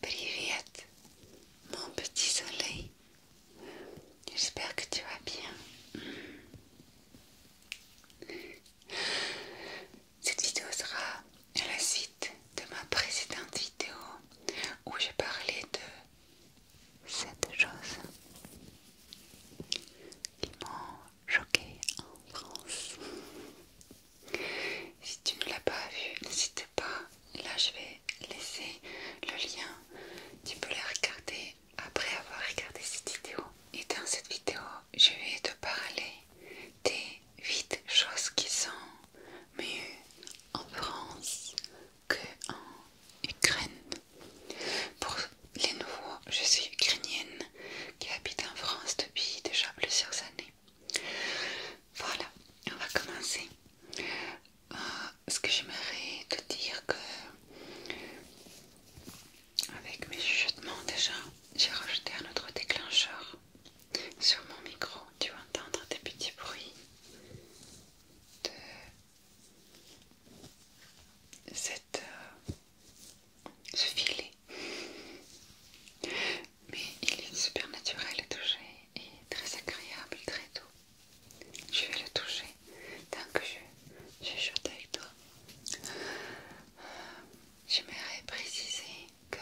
Привет, mon petit soleil. J'espère que tu vas bien. Cette vidéo sera à la suite de ma précédente vidéo où j'ai parlé de cette chose qui m'ont choqué en France. Si tu ne l'as pas vu, n'hésite pas. Là, je vais laisser le lien. Tu peux le regarder après avoir regardé cette vidéo. Et dans cette vidéo, je vais te parler des 8 choses qui sont mieux en France que en Ukraine. Pour les nouveaux, je suis ukrainienne qui habite en France depuis déjà plusieurs années. Voilà, on va commencer. Euh, ce que j'aimerais te dire que avec mes chuchotements déjà, j'ai rajouté un autre déclencheur sur mon micro. Tu vas entendre des petits bruits de cette, euh, ce filet mais il est super naturel à toucher et très agréable, très doux. Je vais le toucher tant que je, je avec toi. J'aimerais préciser que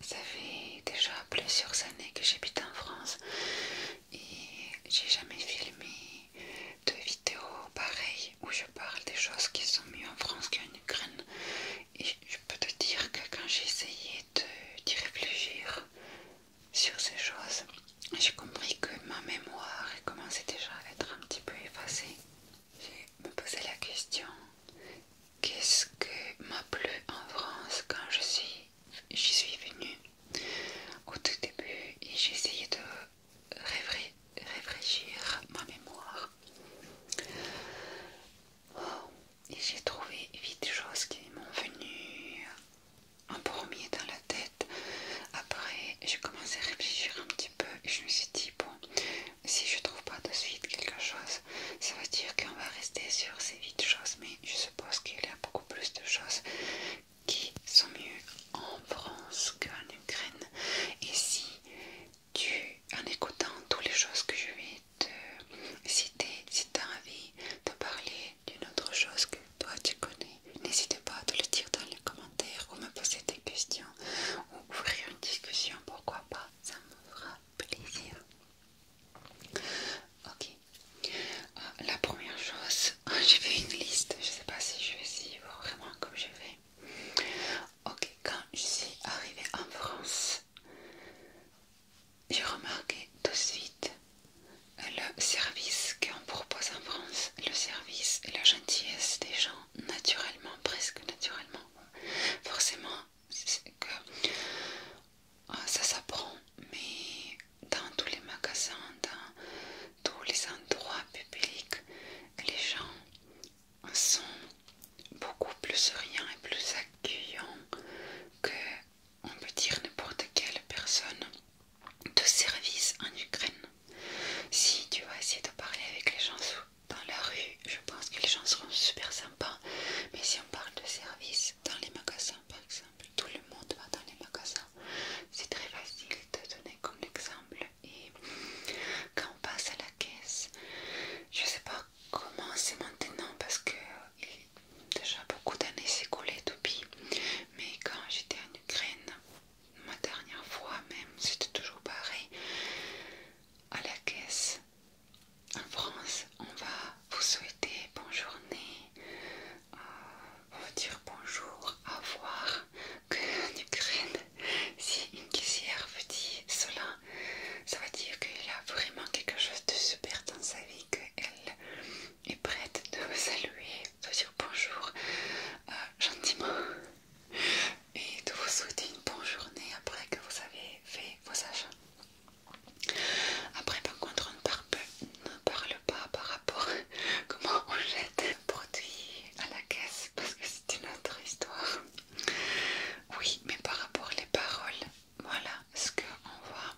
ça fait déjà plusieurs années que j'habite en France et j'ai jamais filmé de vidéos pareilles où je parle des choses qui sont mieux en France qu'en Ukraine. Et je peux te dire que quand j'ai essayé d'y réfléchir sur ces choses, j'ai compris que ma mémoire commençait déjà à être un petit peu effacée. Je me posais la question, qu'est-ce que m'a plu en France quand je suis, j'y suis venue au tout début et j'ai essayé de réfléchir ma mémoire. Et j'ai trouvé vite choses qui m'ont venu en premier dans la tête. Après, j'ai commencé à réfléchir un petit peu et je me suis dit, bon, si je trouve pas de suite quelque chose, ça veut dire qu'on va rester sur ces vite choses. Mais je suppose qu'il y a beaucoup plus de choses qui sont mieux en France qu'en Ukraine. Et si tu, en écoutant toutes les choses que je vais te citer, si tu as envie de parler d'une autre chose que toi tu connais, n'hésite pas à te le dire dans les commentaires ou me poser des questions ou ouvrir une discussion, pourquoi pas, ça me fera plaisir. Ok, euh, la première chose, j'ai fait une liste, je sais pas si je vais vraiment comme je vais. Ok, quand je suis arrivée en France, j'ai remarqué tout de suite le service qu'on propose en France, le service et la gentillesse des gens, naturellement, presque naturellement. Forcément, ah, ça s'apprend, mais dans tous les magasins, dans tous les endroits publics, les gens sont beaucoup plus souriants et plus accueillants que on peut dire n'importe quelle personne de service en Ukraine. Si tu vas essayer de parler avec les gens dans la rue, je pense que les gens seront super sympas. Mais si on parle de service dans les magasins, par exemple, tout le monde va dans les magasins. C'est très facile de donner comme exemple et quand on passe à la caisse, je sais pas comment c'est maintenant parce que déjà beaucoup d'années s'écoulent, depuis, mais quand j'étais en Ukraine, ma dernière fois même, c'était toujours pareil, à la caisse. En France, on va vous souhaiter bonne journée, euh, vous dire bonjour, à voir que en Ukraine, si une caissière vous dit cela, ça veut dire qu'elle a vraiment quelque chose de super dans sa vie, qu'elle est prête de vous saluer, de dire bonjour euh, gentiment et de vous souhaiter une bonne journée après que vous avez fait vos achats. Après, par contre, on ne parle, ne parle pas par rapport à comment on jette un produit à la caisse parce que c'est une autre histoire. Oui, mais par rapport les paroles, voilà, ce qu'on voit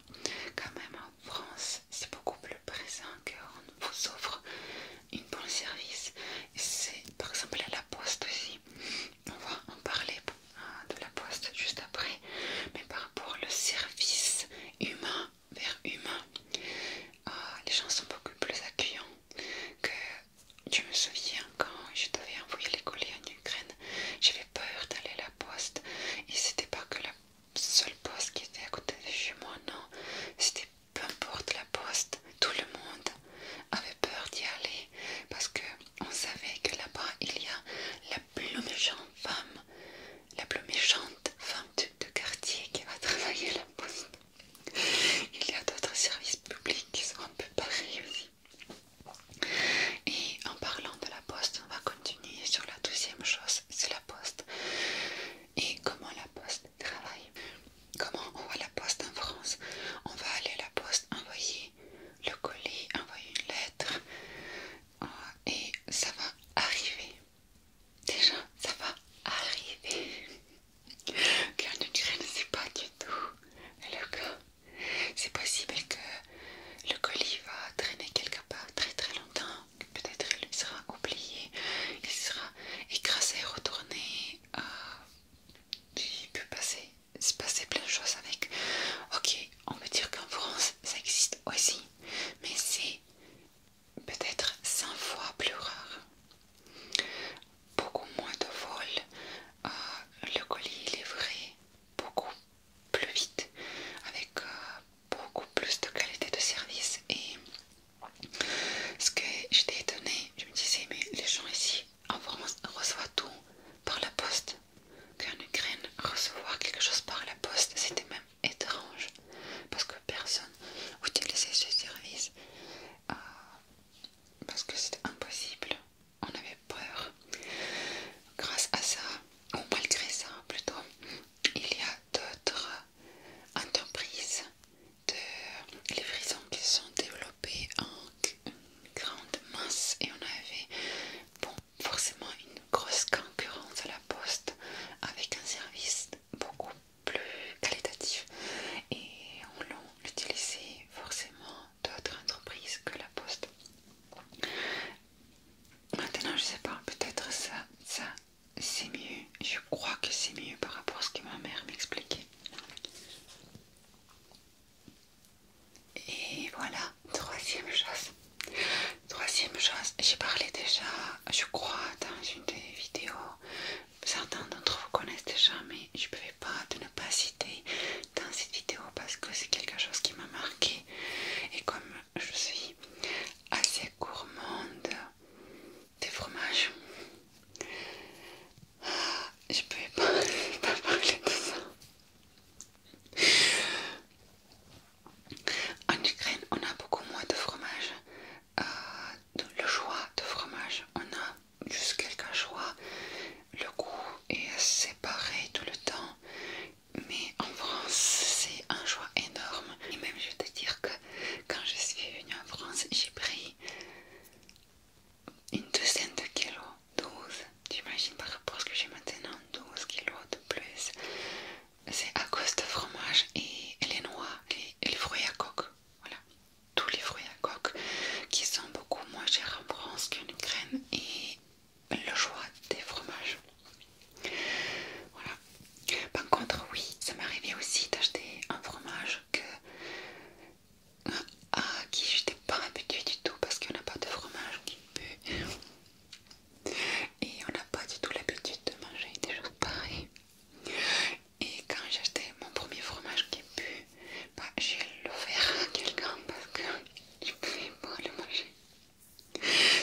quand même en France, c'est beaucoup plus présent qu'on vous offre une bonne service. C'est par exemple à la poste aussi. On va en parler euh, de la poste juste après. Mais par rapport le service humain vers humain, euh, les gens sont beaucoup plus accueillants que je me souviens quand je devais envoyer les colis en Ukraine, j'avais peur d'aller à la poste et c'était pas que la seule poste qui était à côté de chez moi, non, c'était peu importe la poste, tout le monde avait peur d'y aller parce que on savait que là-bas il y a la plus méchante femme, la plus méchante femme de, quartier qui va travailler à la poste. Il y a d'autres services publics qui sont un peu pareils aussi. Et en parlant de la poste, on va continuer sur la deuxième chose, c'est la poste. Et comment la poste travaille. Comment on voit la poste en France On va aller à la poste, envoyer le colis, envoyer une lettre euh, et ça va arriver. Déjà, ça va arriver. Car ne dirait ne pas du tout le cas. C'est possible que le colis va traîner quelque part très très longtemps. Peut-être il sera oublié, il sera écrasé, retourné. Euh, il peut passer, se passer plein de choses avec. Ok, on peut dire qu'en France ça existe aussi, mais c'est peut-être 100 fois plus rare beaucoup moins de vols, euh, le colis est livré beaucoup plus vite, avec euh, beaucoup plus de qualité de service. Et ce que j'étais étonnée, je me disais, mais les gens ici en France reçoivent tout par la poste. Qu'en Ukraine, recevoir quelque chose par la poste, c'était même étrange parce que personne utilisait ce service. Euh, parce que c'était impossible, on avait peur. Grâce à ça, ou malgré ça plutôt, il y a d'autres entreprises de livraison qui se sont développées en grande masse et on avait bon, forcément une grosse concurrence à la poste avec un service beaucoup plus qualitatif et on l'a utilisé forcément d'autres entreprises que la poste. Maintenant je sais pas, peut-être ça, ça c'est mieux, je crois que c'est mieux par rapport à ce que ma mère m'expliquait. Et voilà, troisième chose. Troisième chose, j'ai parlé déjà, je crois, dans une des vidéos certains d'entre vous connaissent déjà, mais je ne pouvais pas de ne pas citer dans cette vidéo parce que c'est quelque chose qui m'a marqué. Et comme je suis assez gourmande des fromages, je ne pouvais pas, parler de ça. En Ukraine, on a beaucoup moins de fromage euh, le choix de fromage. On a juste quelques choix. Le goût est séparé tout le temps. Mais en France, c'est un choix énorme. Et même je vais te dire que quand je suis venue en France, j'ai pris une douzaine de kilos. 12. J'imagine par rapport à ce que j'ai maintenant, 12 kilos de plus. C'est à cause de fromage et les noix les fruits à coque. Voilà, tous les fruits à coque qui sont beaucoup moins chers en France qu'en Ukraine et le choix des fromages. Voilà. Par contre, oui, ça m'est arrivé aussi d'acheter un fromage que euh, à qui j'étais pas habituée du tout parce qu'on n'a pas de fromage qui pue et on n'a pas du tout l'habitude de manger des choses pareilles et quand j'ai acheté mon premier fromage qui est pu, bah, j'ai l'offert à quelqu'un parce que je pouvais pas le manger.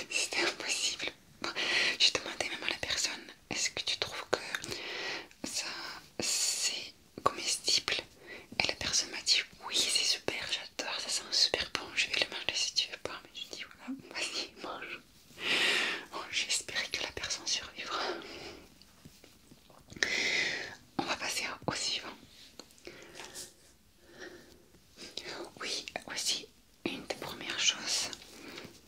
C'était impossible. Bah, je j'ai demandé même à la personne est-ce que tu trouves que ça c'est comestible Et la personne m'a dit oui, c'est super, j'adore, ça sent super bon, je vais le manger si tu veux pas. Mais je dis voilà, vas-y, mange. Bon, oh, J'espérais que la personne survivra. On va passer au suivant. Oui, voici une des premières choses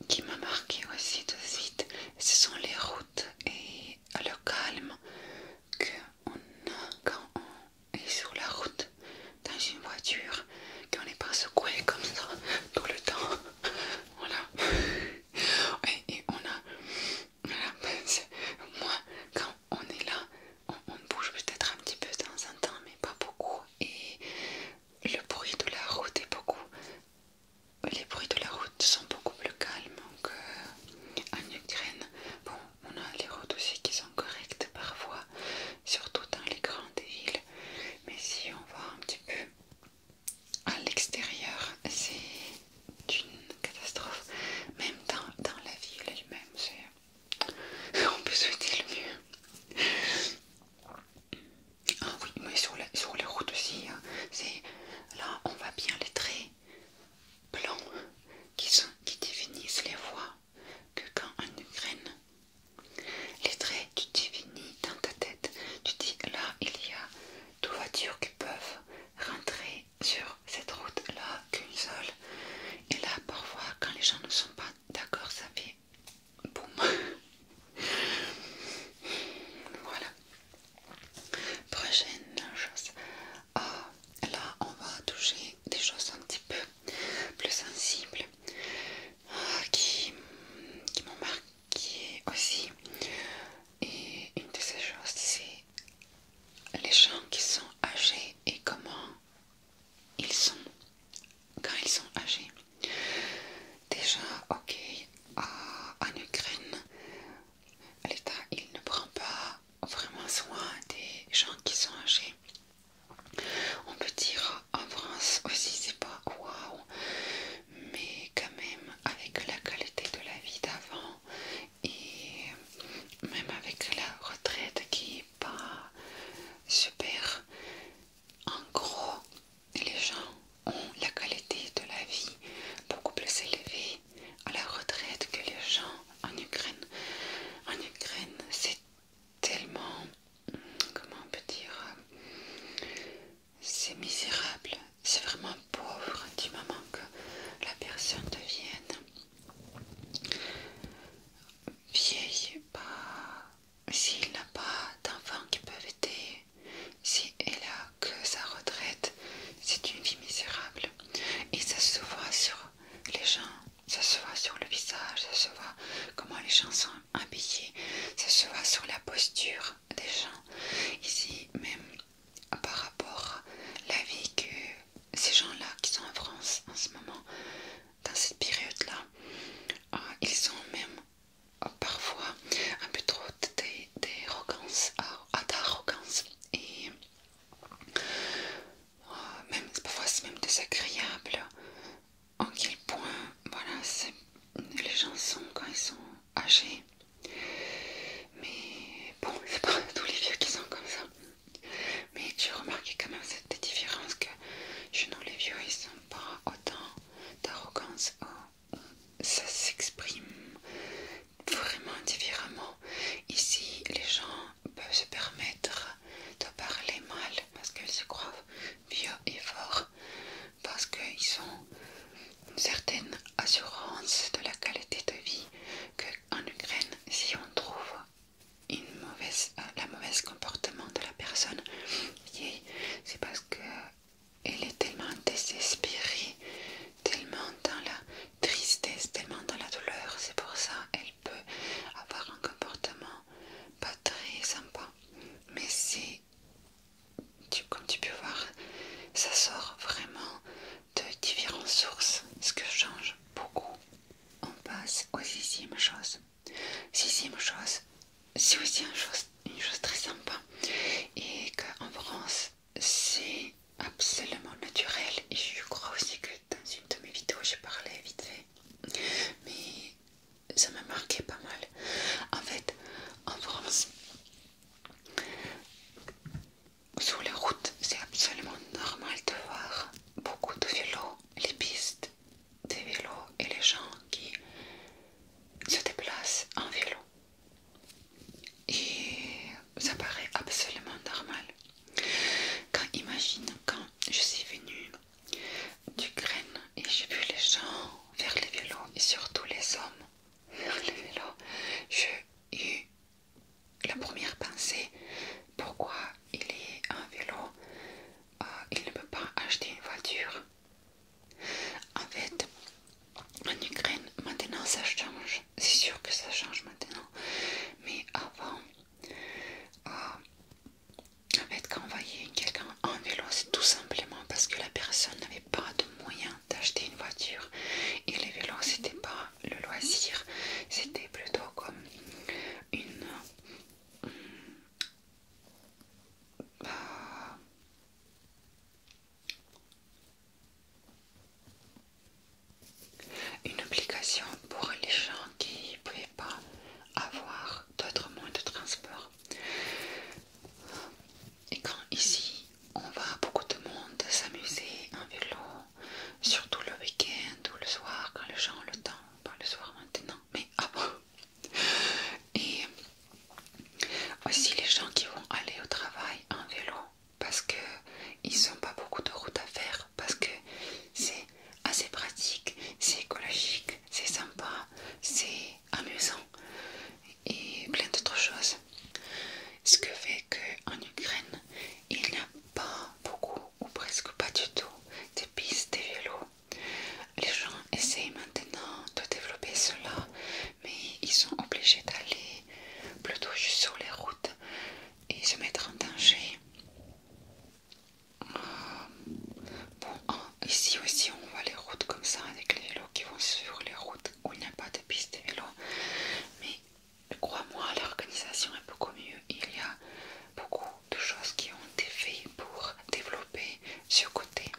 qui m'a marqué aussi de suite, ce sont les routes et le calme qu'on a quand on est sur la route dans une voiture qu'on n'est pas secoué comme ça tout le temps. Voilà. Et, on a... moi, quand on est là, on, bouge peut-être un petit peu de temps en temps, mais pas beaucoup. Et le bruit de la route est beaucoup... Les bruits de la route sont beaucoup plus calmes qu'en Ukraine. Bon, on a les routes aussi qui sont correctes parfois, surtout dans les grandes villes. Mais si on voit un petit peu à l'extérieur, c'est une catastrophe. Même dans, la ville elle-même, On peut souhaiter le mieux. Ah oui, mais sur, les routes aussi, hein, c'est... Là, on voit bien les traits blancs qui, qui définissent les voies que quand en Ukraine les traits tu définis dans ta tête, tu dis là il y a deux voitures qui peuvent rentrer sur cette route là qu'une seule. Et là parfois quand les gens ne sont pas d'accord ça fait boum. voilà. Prochaine chose. Ah, là on va toucher des choses un petit peu plus sensibles qui, qui m'ont marqué aussi. Et une de ces choses, c'est les gens qui sont âgés et comment ils sont quand ils sont âgés. Déjà, ok, en Ukraine, l'État il ne prend pas vraiment soin des gens qui sont âgés. On peut dire en France aussi, c'est pas waouh, mais quand même avec la qualité de la vie d'avant et même avec la retraite qui est pas super, en gros, les gens ont la qualité de la vie beaucoup plus élevée à la retraite que les gens en Ukraine. En Ukraine, c'est tellement, comment on peut dire, c'est misérable, c'est vraiment pauvre du moment que la personne devienne vieille. pas bah, S'il n'a pas d'enfants qui peuvent aider, si elle a que sa retraite, c'est une vie misérable. Et ça se voit sur les gens ça se voit sur le visage, ça se voit comment les gens sont habillés, ça se voit sur la posture des gens. Ici, même par rapport à la vie que ces gens-là qui sont en France en ce moment, dans cette période-là, euh, ils ont même euh, parfois un peu trop euh, d'arrogance et même, parfois c'est même désagréable en quel point voilà, les gens sont quand ils sont âgés. Mais bon, c'est pas tous les vieux qui sont comme ça. Mais tu remarqué quand même cette différence que chez nous les vieux ils sont pas autant d'arrogance. Oh, ça s'exprime vraiment différemment. Ici les gens peuvent se permettre de parler mal parce qu'ils se croient vieux et forts, parce qu'ils ont une certaine assurance de la qualité de vie qu'en Ukraine, si on trouve une mauvaise, euh, la mauvaise comportement de la personne, c'est parce qu'elle est tellement désespérée, tellement dans la tristesse, tellement dans la douleur, c'est pour ça peut avoir un comportement pas très sympa. Mais c'est, comme tu peux voir, ça sort vraiment de différentes sources, ce que change beaucoup. On passe aux sixième chose. Sixième chose, c'est aussi une chose, une chose très sympa et qu'en France c'est absolument naturel et je crois aussi que dans une de mes vidéos, j'ai parlé vite fait, mais ça m'a marqué pas mal. En fait, en France, sur les routes, c'est absolument normal de voir beaucoup de vélos, les pistes des vélos et les gens qui se déplacent en vélo. Et ça paraît absolument normal. Quand imagine quand je suis venue d'Ukraine et j'ai vu les gens vers les vélos et surtout les hommes faire les vélos. J'ai eu la première pensée pourquoi il est un vélo, euh, il ne peut pas acheter une voiture. En fait, en Ukraine, maintenant ça change. C'est sûr que ça change maintenant. Mais avant, euh, en fait, quand quelqu'un en vélo, c'est tout simplement parce que la personne n'avait pas de moyens d'acheter une voiture. Et les vélos, c'était pas le loisir, c'était plutôt comme une. Euh, une obligation pour les gens qui ne pouvaient pas avoir d'autres moyens de transport. Et quand ici on va beaucoup de monde s'amuser en vélo, surtout le week-end ou le soir quand les gens ont le temps, pas le soir maintenant, mais avant. Et aussi les gens qui vont aller au travail en vélo parce que ils n'ont pas beaucoup de routes à faire parce que c'est assez pratique, c'est écologique, c'est sympa, c'est amusant et plein d'autres choses. Ce que fait qu'en Ukraine, il n'y a pas beaucoup ou presque pas du tout de pistes de vélo. Les gens essayent maintenant de développer cela, mais ils sont obligés d'aller plutôt juste sur les routes et se mettre en danger Bon, ici aussi on voit les routes comme ça avec les vélos qui vont sur les routes où il n'y a pas de piste Mais crois-moi, l'organisation est beaucoup mieux. Il y a beaucoup de choses qui ont été faites pour développer ce côté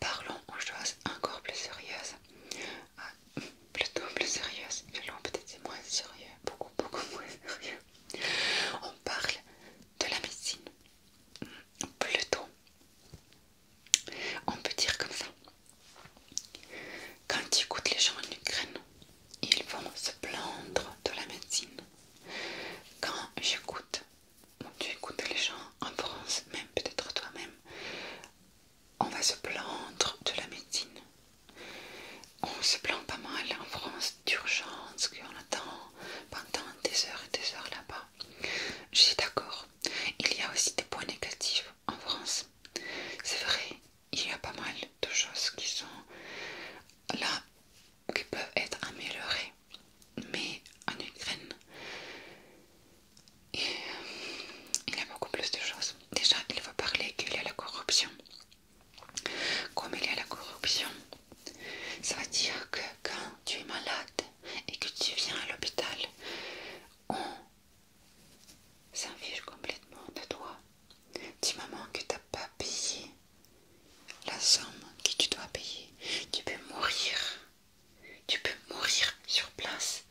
parlons aux choses encore plus sérieuses. Ah, plutôt plus sérieuses. peut-être moins sérieux, beaucoup, beaucoup moins sérieux. On parle de la médecine. Plutôt. On peut dire comme ça. Quand j'écoute les gens en Ukraine, ils vont se plaindre de la médecine. Quand j'écoute tu écoutes les gens en France, même peut-être toi-même, on va se plaindre de la médecine. On se plaint pas mal en France d'urgence, qu'on attend pendant des heures et des heures là-bas. Je suis d'accord. Il y a aussi des points négatifs en France. C'est vrai, il y a pas mal de choses qui sont là, qui peuvent être améliorées mais en Ukraine, il y a beaucoup plus de choses. Déjà, il faut parler qu'il y a la corruption. Comme il y a la corruption, ça veut dire que quand tu es malade et que tu viens à l'hôpital, on s'en complètement de toi. Dis maman que tu n'as pas payé la somme que tu dois payer, tu peux mourir tu peux mourir sur place.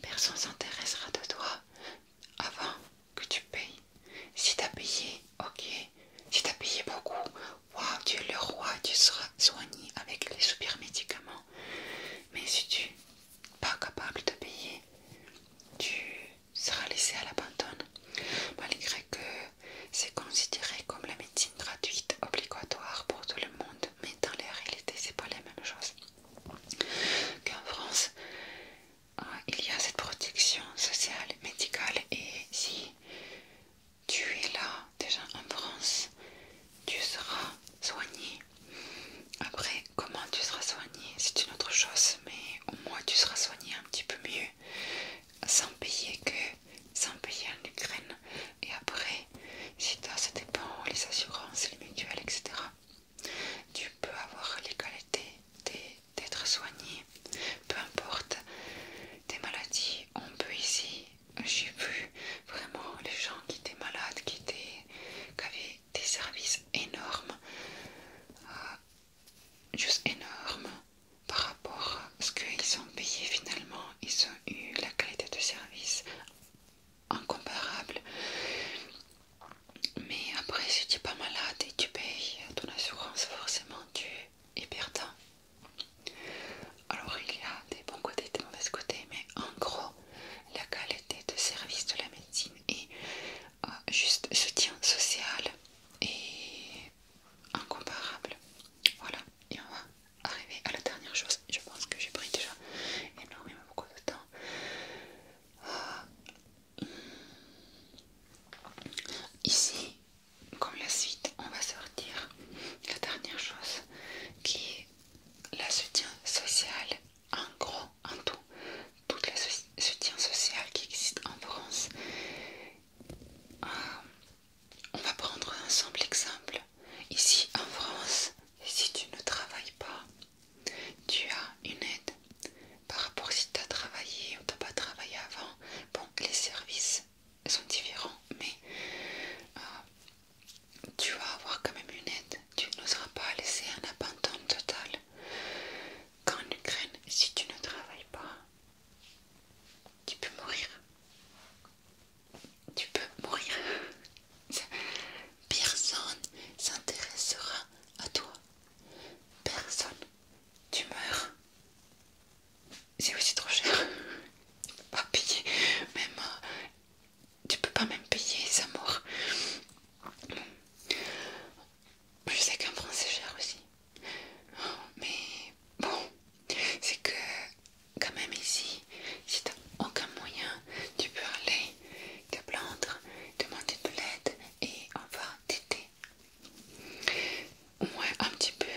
Personne s'intéressera de toi avant que tu payes. Si as payé, ok. Si as payé beaucoup, waouh, tu es le roi, tu seras soigné avec les super médicaments. Mais si tu n'es pas capable de payer, tu seras laissé à l'abandon. Malgré que c'est considéré comme la médecine gratuite, obligatoire pour tout le monde, mais dans la réalité, c'est pas la même chose qu'en France. Euh, il y a cette protection sociale, médicale, et si tu es là déjà en France, tu seras soigné. Après, comment tu seras soigné, c'est une autre chose, mais au moins tu seras soigné un petit peu mieux sans payer que sans payer en Ukraine et après si toi ça dépend les assurances les mutuelles etc tu peux avoir l'égalité d'être soigné peu importe tes maladies on peut ici j'ai vu vraiment les gens qui étaient malades qui étaient qui avaient des services énormes euh, juste énormes par rapport à ce qu'ils ont payé finalement, ils ont eu la qualité de service incomparable. Mais après, si tu n'es pas malade et tu payes ton assurance, forcément tu es perdant. Alors il y a des bons côtés et des mauvais côtés, mais en gros, la qualité de service de la médecine et euh, juste soutien social et incomparable. Voilà, et on va arriver à la dernière chose. Je pense que j'ai pris déjà énormément beaucoup de temps. Ah. ici, comme la suite, on va sortir la dernière chose qui est la soutien social, en gros, en tout. toute le soutien social qui existe en France euh, on va prendre un simple exemple. Ici en France, si tu ne travailles pas, tu as une aide par rapport si tu as travaillé ou tu pas travaillé avant. Bon, les services sont différents, mais euh, tu vas avoir quand même une aide. Tu n'oseras pas laisser un abandon total. Qu'en Ukraine, si tu ne travailles pas, tu peux mourir. Tu peux mourir. Personne s'intéressera à toi. Personne. Tu meurs. C'est aussi trop cher pas payer. Même, euh, tu peux pas même payer sa mort. Je sais qu'un français c'est cher aussi. Mais bon, c'est que quand même ici, si t'as aucun moyen, tu peux aller te plaindre, demander de l'aide et on va t'aider. Au moins un petit peu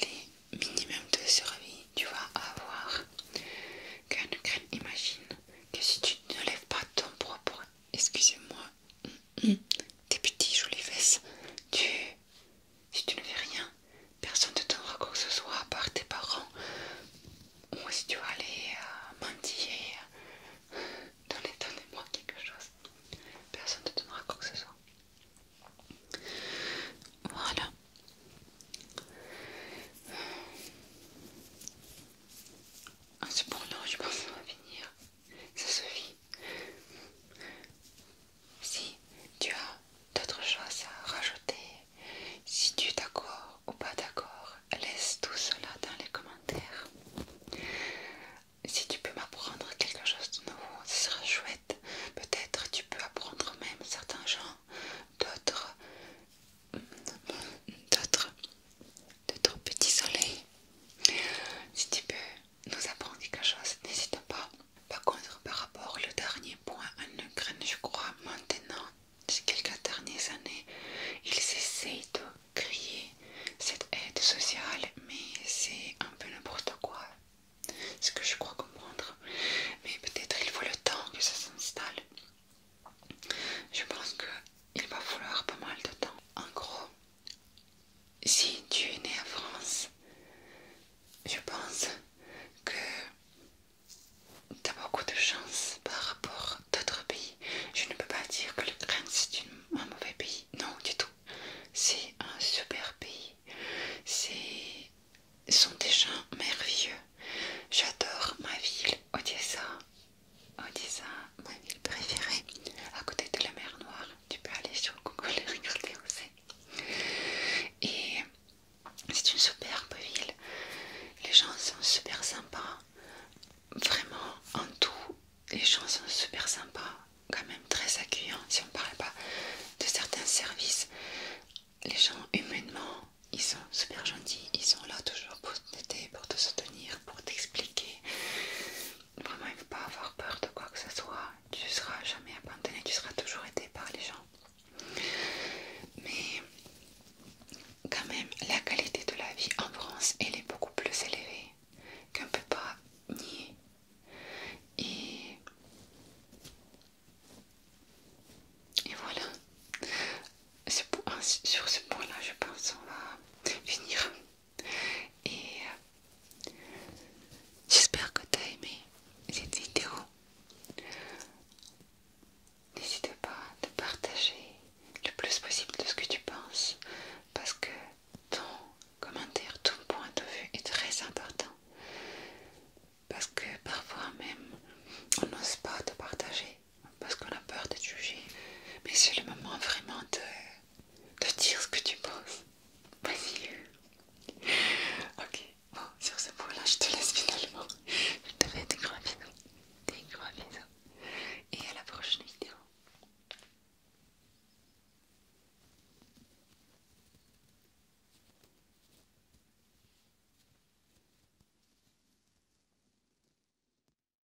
les minimums de survie, tu vas avoir. Car imagine que si tu ne lèves pas ton propre, excusez-moi, Tes petites jolies fesses, tu... si tu ne fais rien, personne ne donnera quoi que ce soit à part tes parents. Ou si tu vas aller euh, mendier mentir, euh, donnez, moi quelque chose. Personne ne te donnera quoi que ce soit. Voilà. En ce moment je pense qu'on va finir ça suffit. Si tu as d'autres choses à rajouter, si tu es d'accord ou pas d'accord, laisse tout cela dans les commentaires. Si tu peux m'apprendre quelque chose de nouveau, ce serait chouette. Peut-être tu peux apprendre même certains gens, d'autres, d'autres, d'autres petits soleils. Si tu peux nous dit quelque chose, n'hésite pas. Par contre, par rapport au dernier point en Ukraine, je crois maintenant, ces quelques dernières années, ils essayent de créer cette aide sociale, mais c'est un peu n'importe quoi, ce que je crois comprendre. Mais peut-être il faut le temps que ça s'installe. Je pense qu'il va falloir pas mal de temps. En gros, si tu es né en France, je pense que tu as beaucoup de chance par rapport à d'autres pays. Je ne peux pas dire que le Prince est un mauvais pays, non du tout. C'est un super pays. ce sont des gens merveilleux. J'adore ma ville, Odessa dit ma ville préférée à côté de la mer Noire. Tu peux aller sur Google et regarder où c'est. Et c'est une superbe ville. Les gens sont super sympas. Vraiment, en tout, les gens sont super sympas. Quand même très accueillants. Si on ne parle pas de certains services, les gens humainement, ils sont super gentils. Ils sont là toujours pour t'aider, pour te soutenir, pour t'expliquer. Vraiment, il ne faut pas avoir peur de quoi que ce soit. Tu ne seras jamais abandonné, tu seras toujours aidé par les gens. Mais quand même, la qualité de la vie en France, elle est beaucoup plus élevée qu'on ne peut pas nier. Et, et voilà. Sur ce point-là, je pense qu'on va finir. Et euh, j'espère que tu as aimé cette vidéo. N'hésite pas à partager le plus possible de ce que tu penses parce que ton commentaire, ton point de vue est très important. Parce que parfois même on n'ose pas te partager parce qu'on a peur de te juger. Mais c'est le moment vraiment de de dire ce que tu penses. Vas-y. Ok, bon, sur ce point-là, je te laisse finalement. Je te fais des gros bisous. Des gros bisous. Et à la prochaine vidéo.